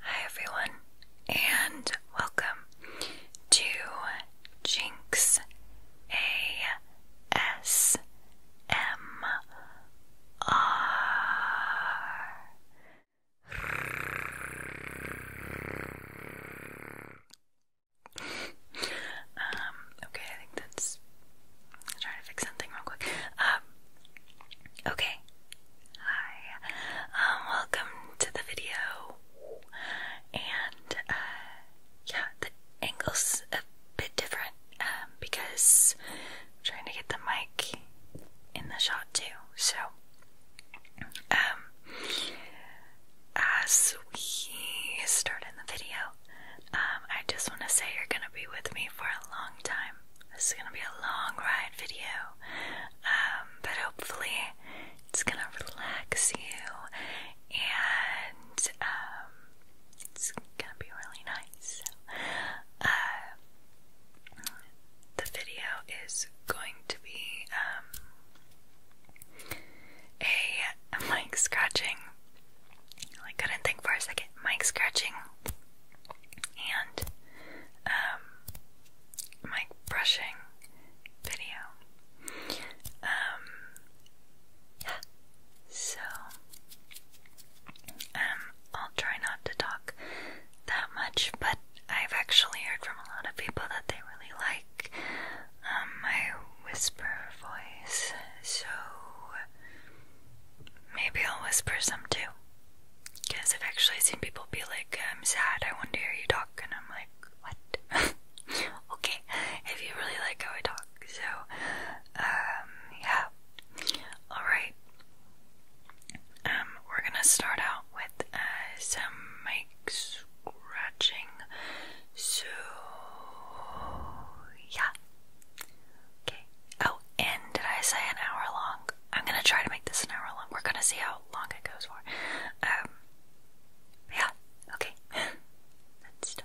Hi, everyone, and welcome to Jinx ASMR. Um, okay, I think that's. trying to fix something real quick. Um, okay. Hi. Um, welcome to the video. And, uh, yeah, the angle's a bit different, because I'm trying to get the mic in the shot too, so as we start in the video, um, I just want to say you're going to be with me for a long time. This is going to be a long ride video, um, but hopefully it's going to relax you and um, it's going to be really nice. Uh, the video is going to be a mic scratching. I couldn't think for a second. Mic scratching and um, mic brushing video. Um, yeah. So, um, I'll try not to talk that much, but I've actually heard from a lot of people that they really like um, my whisper voice, so maybe I'll whisper some too. Because I've actually seen people be like, I'm sad, I want to hear you talk, and I'm like, what? okay, if you really like how I talk, so, um, yeah. Alright, um, we're gonna start out with, uh, some makes scratching. So, yeah. Okay. Oh, and did I say an hour long? I'm gonna try to make this an hour long. We're gonna see how long it goes for. Um, yeah. Okay. Let's start.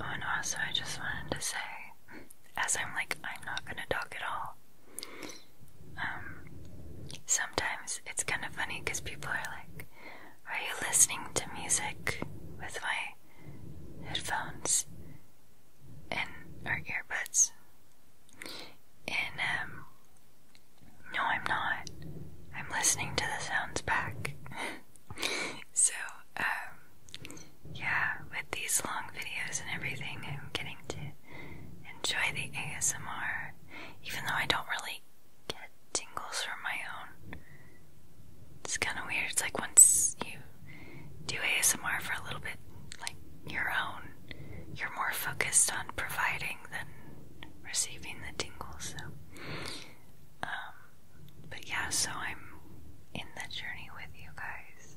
Oh, and also, I just wanted to say, as I'm like, I'm not gonna talk at all. Um, sometimes it's kind of funny because people are like, Are you listening to music with my headphones and our earbuds. And um, no I'm not. I'm listening to the sounds back. so, um, yeah, with these long videos and everything I'm getting to enjoy the ASMR even though I don't really get tingles from my own it's kind of weird. It's like once you do ASMR for a little bit, like your own, you're more focused on providing than receiving the tingles. So, um, but yeah, so I'm in the journey with you guys.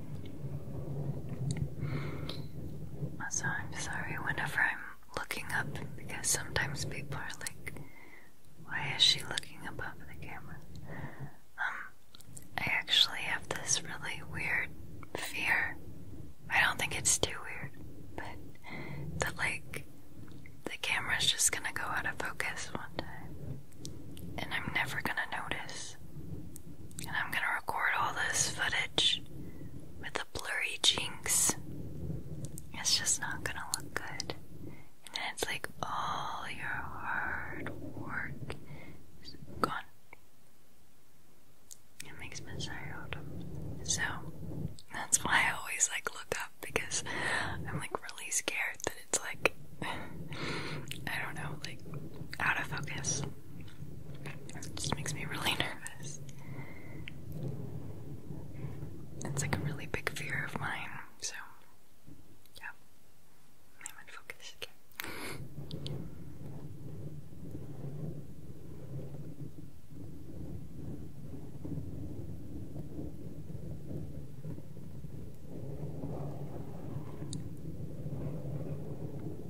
Also, I'm sorry whenever I'm looking up because sometimes people are like, why is she looking above the camera? Um, I actually have this really weird fear. I don't think it's too weird, but that like the camera's just gonna go out of focus one time and I'm never gonna notice. And I'm gonna record all this footage with the blurry jinx. It's just not gonna look good. And then it's like all your hard work is gone. It makes me sad. So that's why I always like look up because I'm like really scared that it's like I don't know, like out of focus. It just makes me really nervous. It's like a really big fear of mine, so yeah. I'm in focus again.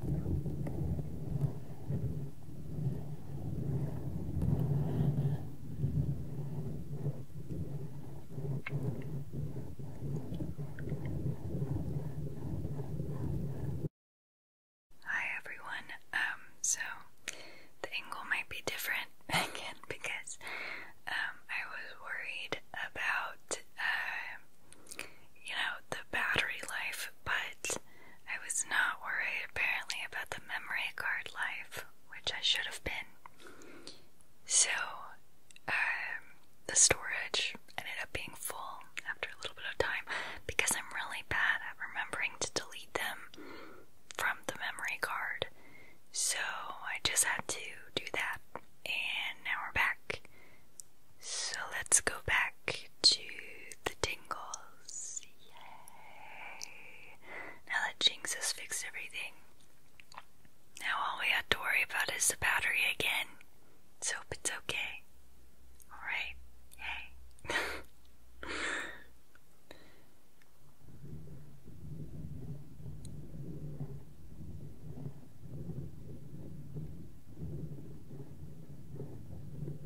Hi everyone. Um, so the angle might be different again because um, I was worried about uh, you know, the battery life, but I was not worried apparently about the memory card life, which I should have been. So, um, the storage ended up being full after a little bit of time because I'm really bad at remembering to delete them from the memory card. So, I just had to do that, and now we're back so let's go back to the tingles. Yay! Now that Jinx has fixed everything, now all we have to worry about is the battery again. So hope it's okay. Alright, yay.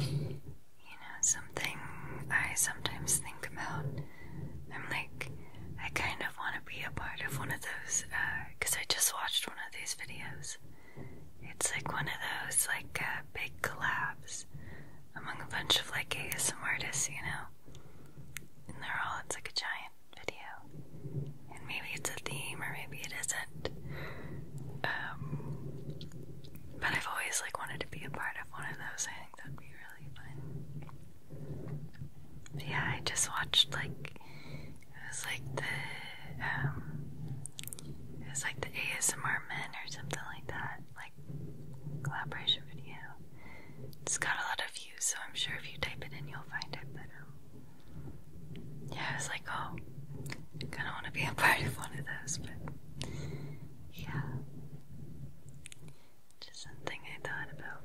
You know, something I sometimes think about. I'm like, I kind of want to be a part of one of those because uh, I just watched one of these videos it's like one of those like uh, big collabs among a bunch of like ASM artists, you know. And they're all it's like a giant video. And maybe it's a theme or maybe it isn't. Um, but I've always like wanted to be a part of one of those. I think that'd be really fun. yeah, I just watched like it was like the um, it was like the ASMR men or something like that, like collaboration video. It's got a lot of views, so I'm sure if you type it in, you'll find it. But yeah, it was like, oh, I kind of want to be a part of one of those, but yeah, just something I thought about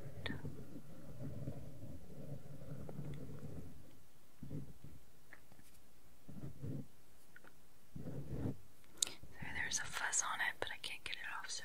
there's a fuzz on it, but I can't get it off, so.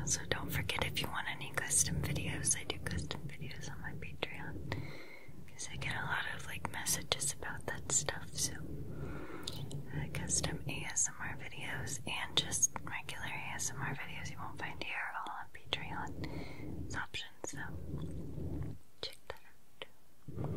Also, don't forget if you want any custom videos, I do custom videos on my Patreon because I get a lot of like messages about that stuff. So, uh, custom ASMR videos and just regular ASMR videos you won't find here all on Patreon. It's optional so check that out.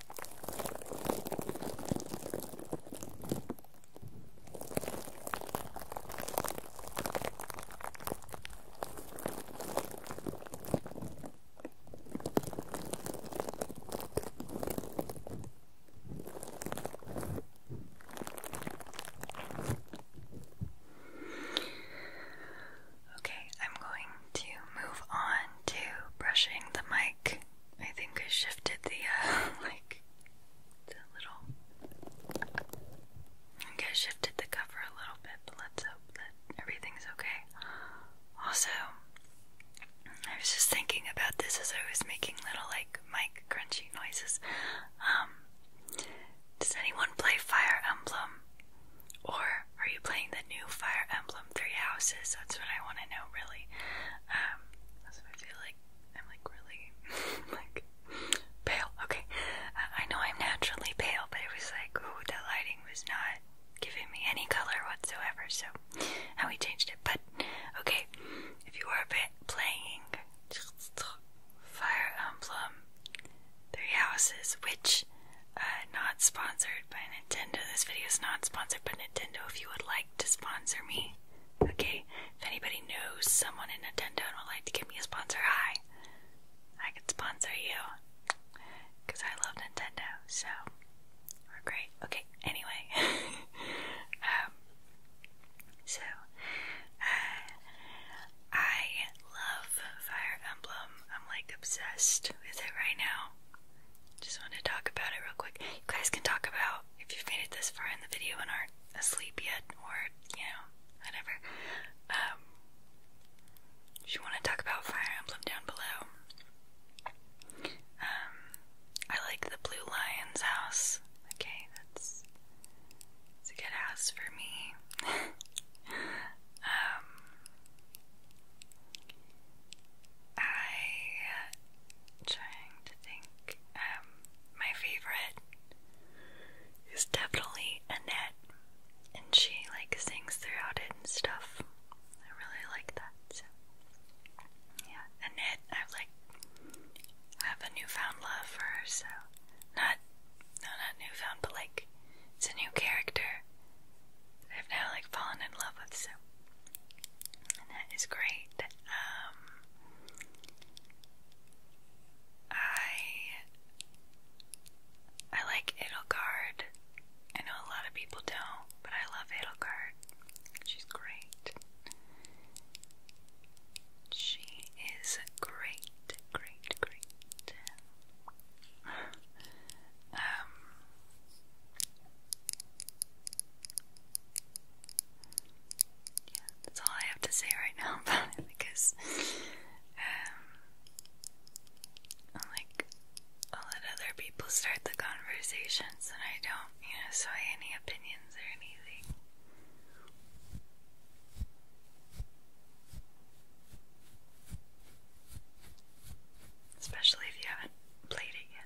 Okay, I'm going to move on to brushing the mic I think I shifted the uh, like the little. I think shifted the cover a little bit, but let's hope that everything's okay. Also, I was just thinking about this as I was making little like mic crunchy noises. Um, does anyone play Fire Emblem or are you playing the new Fire Emblem Three Houses? That's what I want to know, really. Um, that's what I feel like I'm like really like pale. Okay, uh, I know I'm naturally pale, but it was like, ooh, the lighting was not giving me any color whatsoever. So how we changed it, but okay. If you are playing Fire Emblem Three Houses, which uh, not sponsored by Nintendo. This video is not sponsored by Nintendo. If you would like to sponsor me, okay? If anybody knows someone in Nintendo and would like to give me a sponsor, hi. I could sponsor you. Because I love Nintendo, so great. Okay, anyway. um, so, uh, I love Fire Emblem. I'm like obsessed with it right now. Just want to talk about it real quick. You guys can talk about if you've made it this far in the video and aren't asleep yet, or you know, whatever. Um, if you want to talk about Fire Emblem down below, um, I like the Blue Lion's house. Okay, that's it's a good house for me. um, I trying to think. Um, my favorite is definitely Annette, and she like sings throughout it and stuff. I really like that. Yeah, Annette, I've like have a newfound love for her. So not, no, not newfound, but like it's a new character. I've now like fallen in love with, so and that is great. Um, I I like Edelgard. I know a lot of people don't, but I love Edelgard. She's great. She is great, great, great. um, yeah, that's all I have to say right now about it because um, I'm like, I'll let other people start the conversations and I don't, you know, so any opinions or anything especially if you haven't played it yet.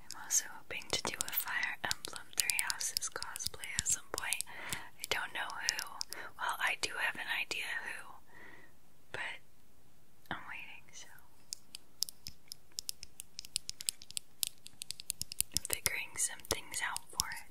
I'm also hoping to do a Fire Emblem Three Houses cosplay at some point. I don't know who. Well, I do have an idea who, but I'm waiting, so figuring some things out for it.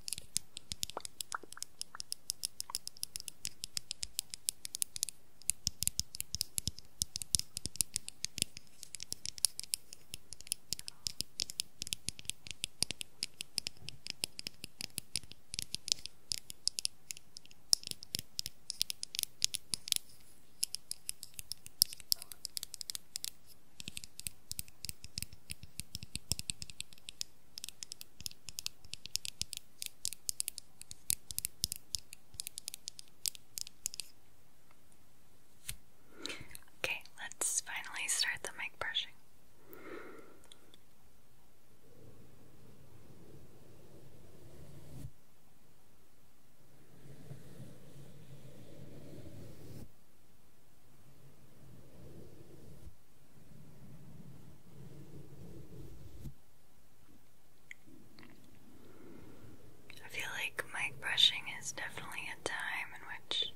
Okay, let's finally start the mic brushing. I feel like my brushing is definitely a time in which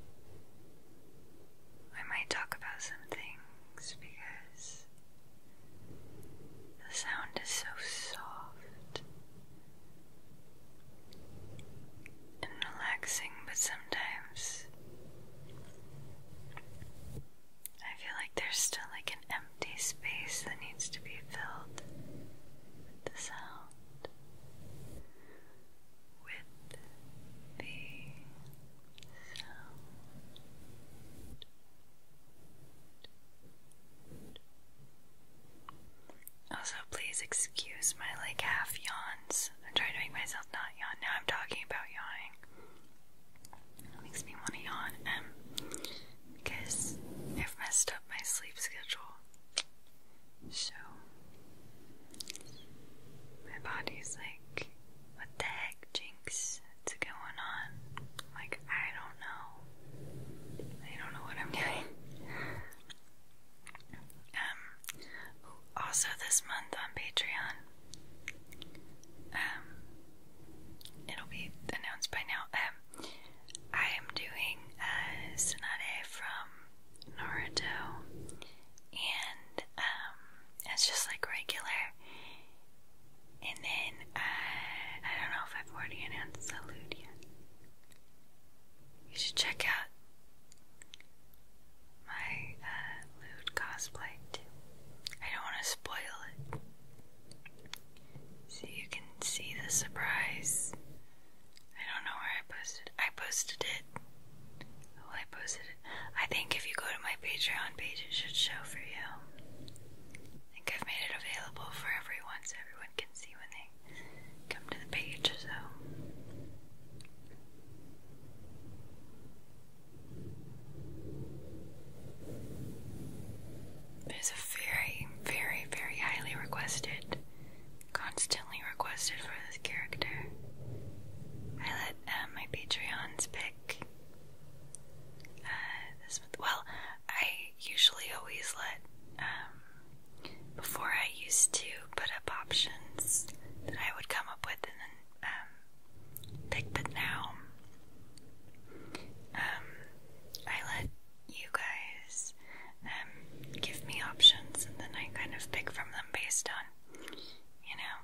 I might talk about some things because the sound is so soft and relaxing, but sometimes I feel like there's still like an empty space that needs to be filled with the sound, with the sound. Also, please excuse my like half yawns. I'm trying to make myself not yawn. Now I'm talking about yawning. makes me want to yawn, um, because i messed up my sleep schedule. So, my body's like, what the heck, Jinx? What's going on? like, I don't know. I don't know what I'm doing. Um, also this month on Patreon, um, it'll be announced by now. Um, I am doing a sonata from Naruto, and um, it's just like regular. And then uh, I don't know if I've already announced Salute yet. You should check out my uh, lewd cosplay too. I don't want to spoil it. So you can see the surprise. I don't know where I posted. I posted it. Oh, I posted it. I think if you go to my Patreon page, it should show for you. I think I've made it available for everyone so everyone can see when they come to the page, so. There's a very, very, very highly requested, constantly requested for this character. I let uh, my Patreons pick uh, this. Well, I usually always let. Um, before I used to put up options that I would come up with and then um, pick, but now um, I let you guys um, give me options and then I kind of pick from them based on, you know,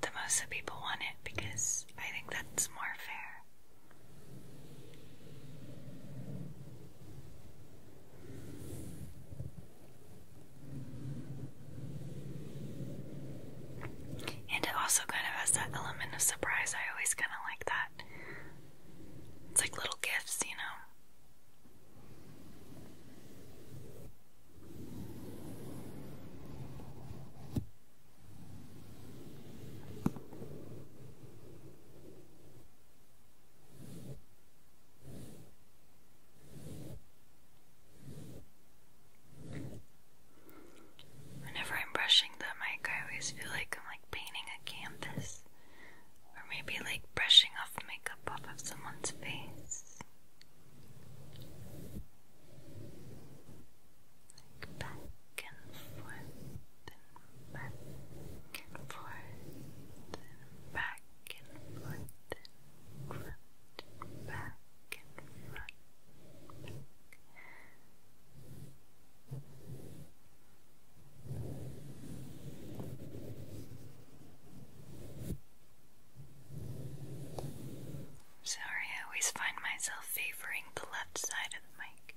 the most that people want it because I think that's more fair. And it also kind of has that element of surprise. I always kind of like that. It's like little gifts, you know. Whenever I'm brushing the mic, I always feel like I'm like painting a canvas, or maybe like brushing off makeup off of someone's face. Like back and forth, and back and forth, and back and forth, Sorry, I always find myself favoring the left side of the mic.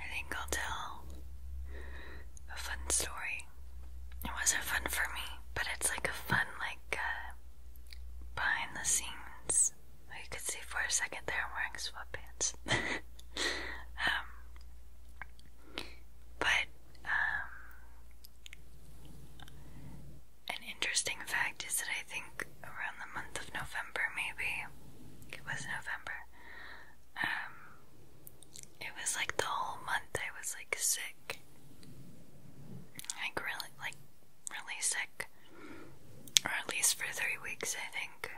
I think I'll tell a fun story. It wasn't fun for me, but it's like a fun, like, uh, behind the scenes. you could see for a second there I'm wearing sweatpants. Um, but um, an interesting fact is that I think around the month of November, maybe it was November. Um, it was like the whole month I was like sick sick. Like really, like really sick, or at least for three weeks, I think.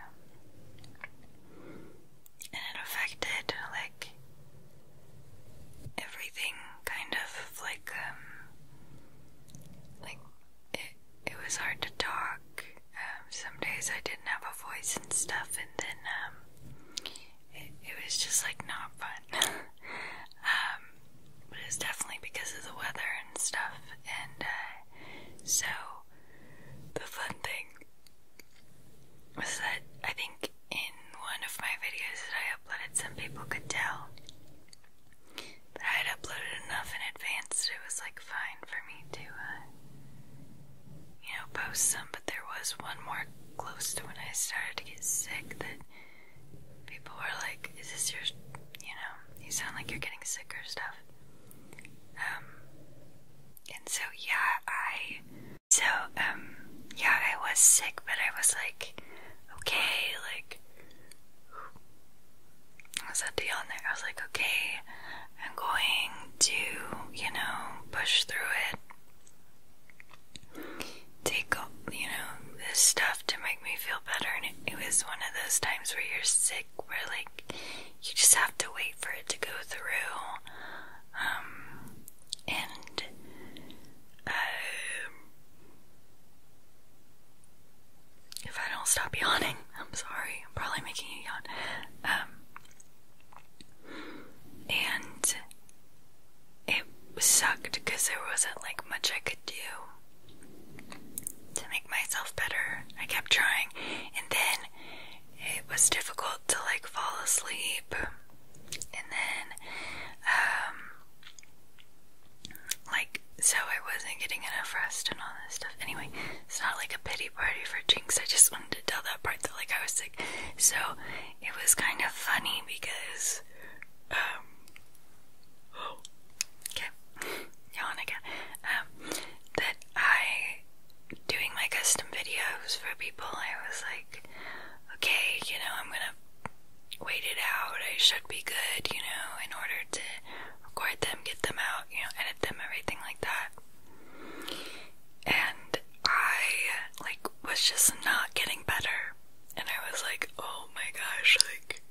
And it affected like everything, kind of like um, like it. It was hard to talk. Um, some days I didn't have a voice and stuff, and then um, it, was just like not fun. Um, but it was definitely because of the weather and stuff, and uh, so the fun thing was that I think in one of my videos that I uploaded, some people could tell but I had uploaded enough in advance that it was like fine for me to, uh, you know, post some, but there was one more close to when I started to get sick that people were like, "Is this your, you know, you sound like you're getting sick or stuff." Um, and so yeah, I, so um, yeah, I was sick, but I was like, okay, like, I was at the on there. I was like, okay, I'm going to, you know, push through it take, all you know, this stuff to make me feel better. And it, was one of those times where you're sick, where like you just have to wait for it to go through. Um, and, uh, if I don't stop yawning, I'm sorry, I'm probably making you yawn. Um, and it sucked because there wasn't like much I could do to make myself better. I kept trying, and then it was difficult to like fall asleep, and then, um, like, so I wasn't getting enough rest and all this stuff. Anyway, it's not like a pity party for Jinx. I just wanted to tell that part that like I was sick. So it was kind of funny because um, okay, yawn again. Um, that I doing my custom videos for people. I was like, okay, you know, I'm gonna wait it out. I should be good, you know, in order to record them, get them out, you know, edit them, everything like that. And I like was just not getting better and I was like, oh my gosh, like,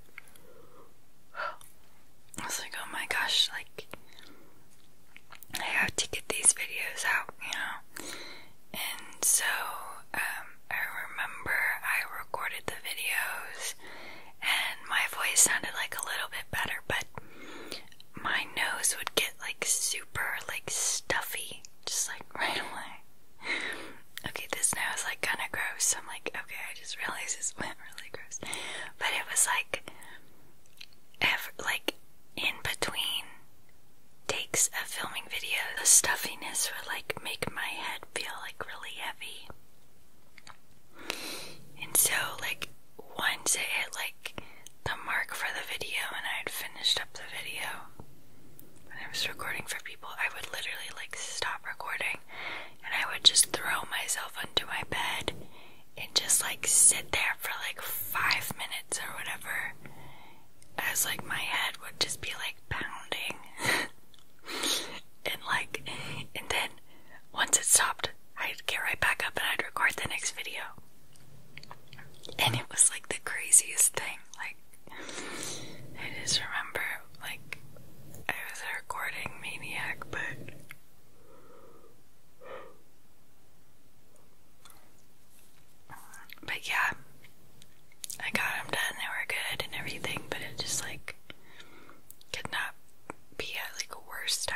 I was like, oh my gosh, like, I have to get these videos out, you know? And so, um, I remember I recorded the videos, and my voice sounded like a little bit better, but my nose would get like super, like, stuffy just like right away. okay, this now is like kinda gross. So I'm like, okay, I just realized this went really gross. But it was like ever like in between takes of filming video, the stuffiness would like make my head feel like really heavy. And so like once I hit like the mark for the video and I had finished up the video and I was recording for I would literally like stop recording and I would just throw myself under my bed and just like sit there for like five minutes or whatever. As like my head would just be like pounding. and like, and then once it stopped, I'd get right back up and I'd record the next video. And it was like the craziest thing. Like, I just remember, like, I was a recording maniac, but. But yeah, I got them done, they were good and everything, but it just, like, could not be at, like, a worse time.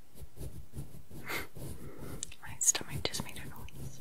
My stomach just made a noise.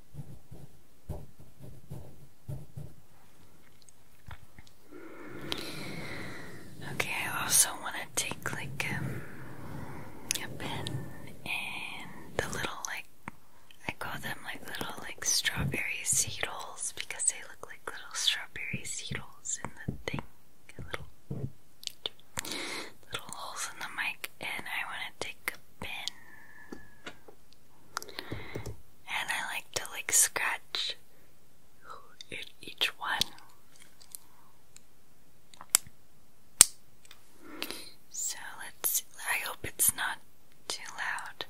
Okay, I also want to take like um, a pen and the little like I call them like little like strawberry seedles because they look like little strawberry seedles in the thing, little little holes in the mic and I want to take a pin. And I like to like scratch each one. So let's see. I hope it's not too loud.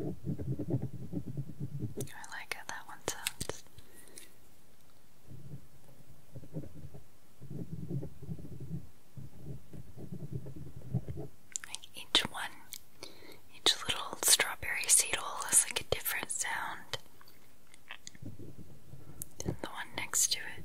I like how that one sounds. each one, each little strawberry seedle has like a different sound than the one next to it.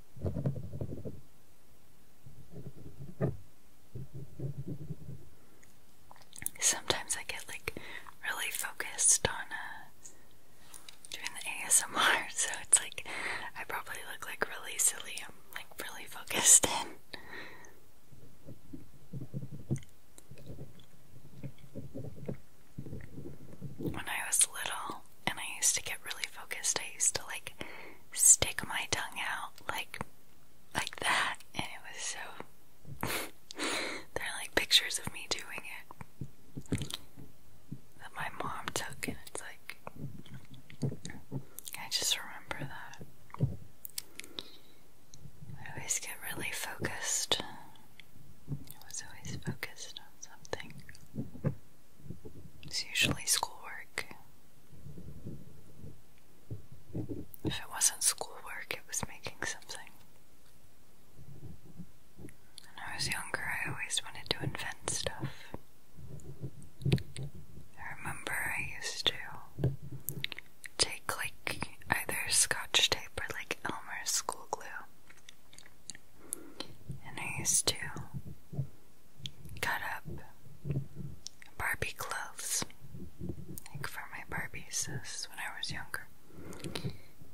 Sometimes I get like really focused on uh, doing the ASMR, so it's like I probably look like really silly. I'm like really focused in. When I was little and I used to get really focused, I used to like stick my tongue out like like that and it was so there are like pictures of me doing it that my mom took and it's like I just remember that. I always get really focused. I was always focused on something. It's usually schoolwork. If it wasn't schoolwork, it was making something. When I was younger, I always wanted to invent stuff. I remember I used to take, like, either scotch tape or, like, Elmer's school glue. And I used to cut up Barbie clothes, like for my Barbies. when I was younger,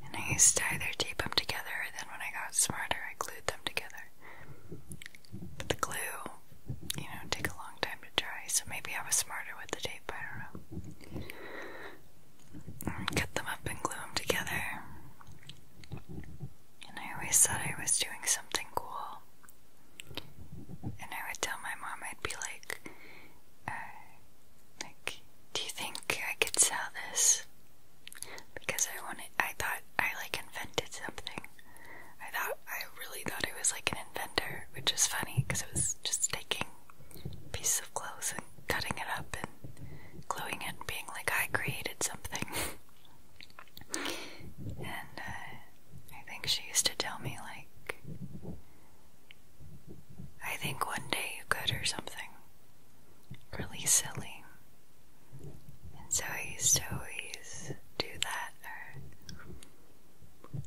and I used to either tape them together, or then when I got smarter, I glued them together. But the glue, you know, take a long time to dry, so maybe I was smarter with the tape. I don't know. cut them up and glue them together. And I always thought I was doing something cool and I would tell my mom, I'd be like, uh, like, do you think I could sell this? Because I wanted, I thought I like invented something. I thought, I really thought I was like an inventor, which is funny because I was just taking pieces of clothes and cutting it up and gluing it and being like, I created something. And uh, I think she used to tell me, like, I think one day you could, or something. Really silly. And so I used to always do that, or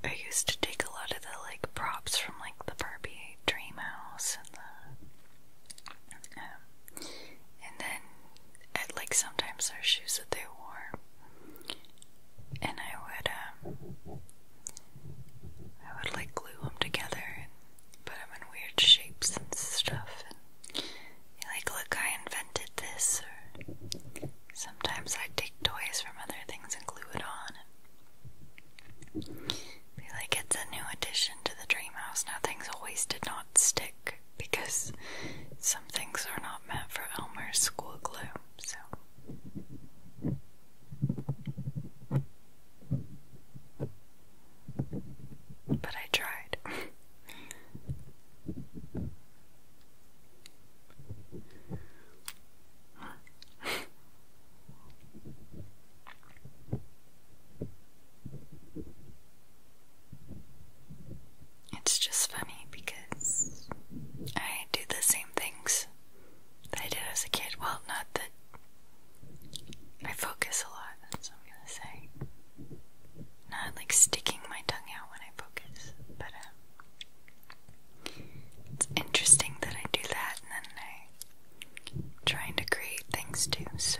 I used to take a lot of the, like, props from, like, the Barbie Dream House and the. Um, and then I'd like sometimes their shoes that they wore, and I would um, I would like glue them together and put them in weird shapes and stuff, and like, look, I invented this. Or sometimes i take toys from other things and glue it on. And be like, it's a new addition to the dream house. Now things always did not stick because some things are not meant for Elmer's school glue, so. But I tried. It's just funny because I do the same things that I did as a kid. Well, not that I focus a lot, that's what I'm gonna say. Not like sticking my tongue out when I focus, but um, it's interesting that I do that and then I'm trying to create things too, so.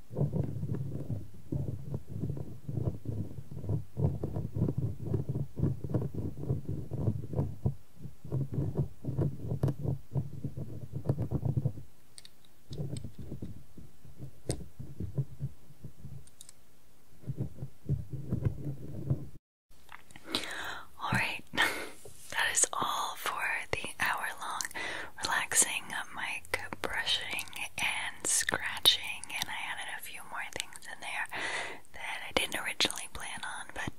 All right, that is all for the hour long relaxing mic brushing and scratching, and I added a few more things in there that I didn't originally plan on, but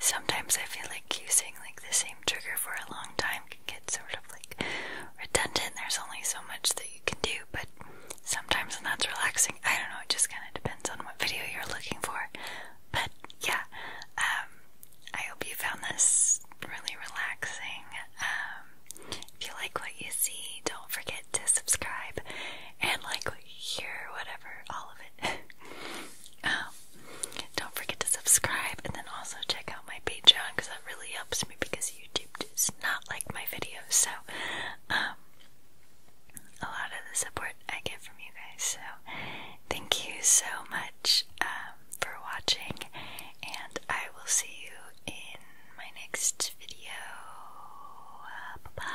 sometimes I feel like using like the same trigger for a long time can get sort of like redundant. There's only so much that you can do, but sometimes when that's relaxing, I don't know, it just kind of depends on what video you're looking for. But yeah, um, I hope you found this really relaxing. Um, if you like what you see, don't forget to subscribe and like what you hear, whatever, all of it. Um, don't forget to subscribe and then also check out my Patreon because that really helps me because YouTube does not like my videos. So, um, a lot of the support I get from you guys. So, thank you so much for watching, and I will see you in my next video. bye.